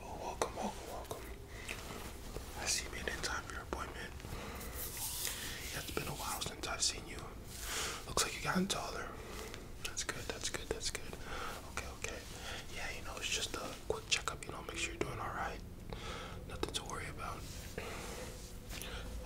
Well, oh, welcome, welcome, welcome. I see you made it in time for your appointment. Yeah, it's been a while since I've seen you. Looks like you've gotten taller. That's good, that's good, that's good. Okay, okay. Yeah, you know, it's just a quick checkup, you know, make sure you're doing alright. Nothing to worry about.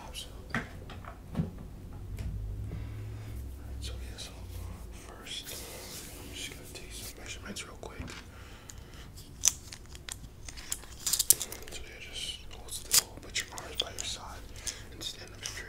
Absolutely so yeah, so uh, first, I'm just gonna take some measurements real quick. just hold still, put your arms by your side, and stand up straight.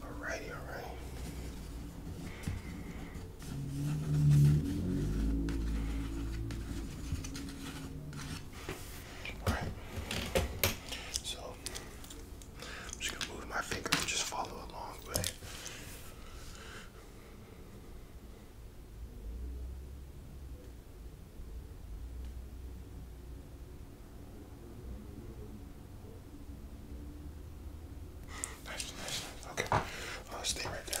Alrighty, alrighty. All right. So I'm just gonna move my finger just follow along with Nice, nice, nice. Okay, I'll uh, stay right there.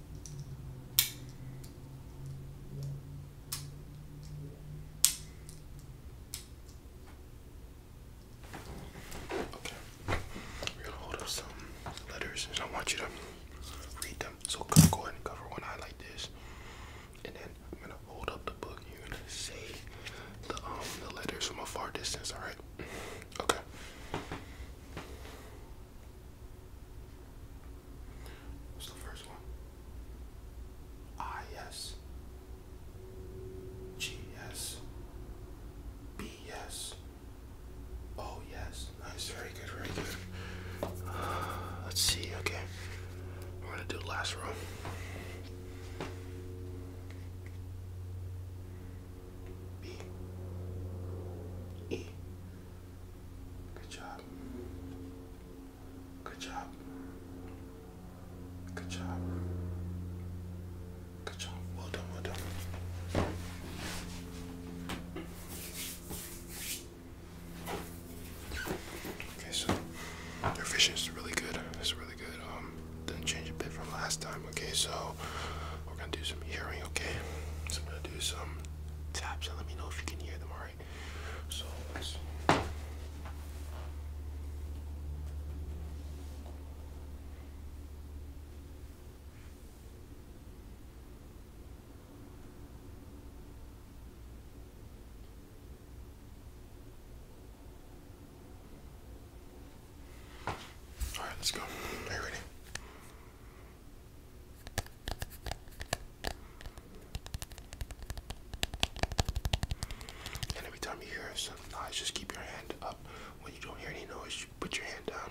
Okay. We're gonna hold up some letters and I want you to read them. So go ahead and cover one eye like this. And then I'm gonna hold up the book you're gonna say the um the letters from a far distance, alright? Okay. What's the first one? yes. Oh yes, nice, very good, very good. let's see, okay. We're gonna do last row. B E Good job. Good job. Good job. Good job. Well done, well done. Okay, so your vision is really good. It's really good. Um, didn't change a bit from last time. Okay, so we're gonna do some hearing. Okay, so I'm gonna do some Tap. So let me know if you can hear them, alright? So All right, let's go. Are you ready? And every time you hear some noise, just keep your hand up. When you don't hear any noise, you put your hand down.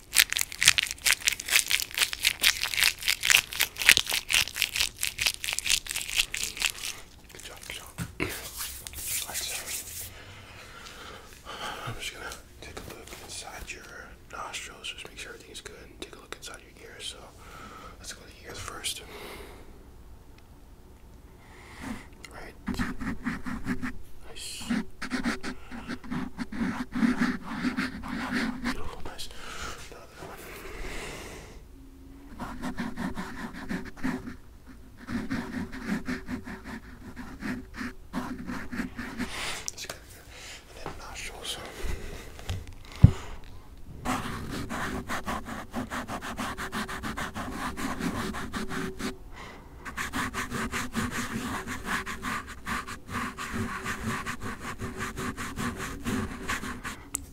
Good job, good job. Alright, so I'm just gonna take a look inside your nostrils, just make sure everything's good, and take a look inside your ears. So let's go to the ears first. Right. Nice. Beautiful, nice. Another one. Let's get and then nostrils.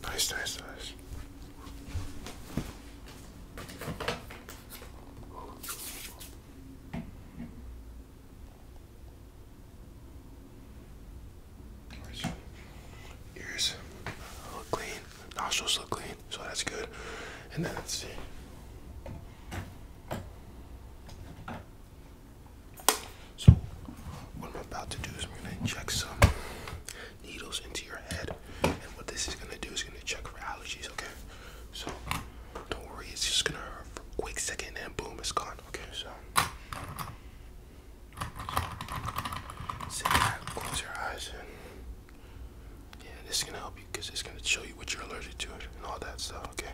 Nice, nice, nice. Ears look clean, nostrils look clean, so that's good. And then let's see. So, what I'm about to do is I'm gonna inject some needles into your head, and what this is gonna do is gonna check for allergies, okay? So, don't worry, it's just gonna hurt for a quick second, and boom, it's gone, okay? So, sit back, close your eyes, yeah, this is gonna help because it's gonna show you what you're allergic to and all that stuff, okay?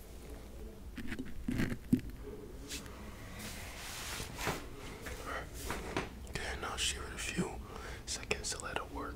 Okay, now share it a few seconds to let it work.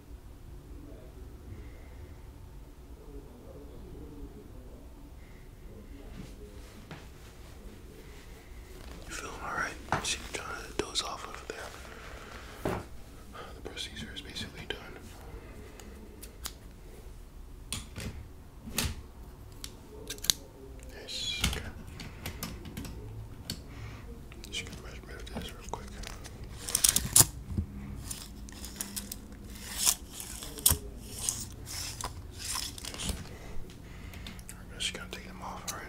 You feeling alright? She trying to doze off over there. The procedure is basically done. Yes, Just gonna rid this real quick. I'm just gonna take them off, all right?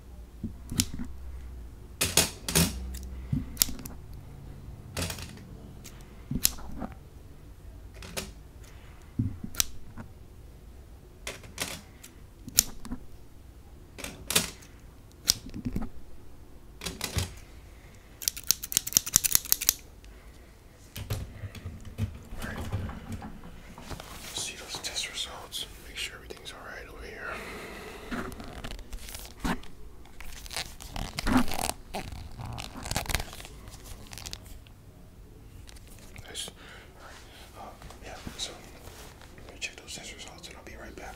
All right. See those test results. Make sure everything's all right over here. Nice. All right. Uh, yeah, so let me check those test results and I'll be right back.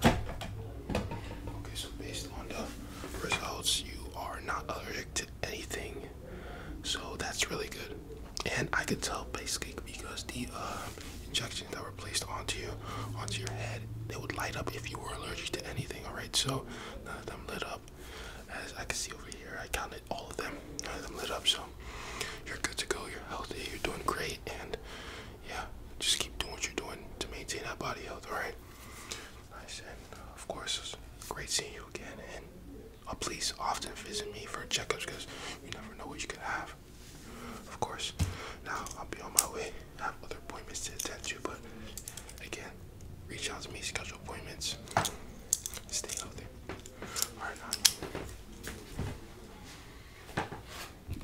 Okay, so based on the results, you are not allergic to anything. So that's really good. And I could tell basically because the uh, injections that were placed onto you, onto your head, they would light up if you were allergic to anything. All right, so none of them lit up. As I can see over here, I counted all of them. None of them lit up, so you're good to go. You're healthy. You're doing great, and yeah, just keep doing what you're doing to maintain that body health, alright? Nice, and of course, great seeing you again. And uh, please often visit me for checkups because you never know what you could have. Of course, now I'll be on my way. I have other appointments to attend to, but again, reach out to me, schedule appointments, stay healthy. Alright, now.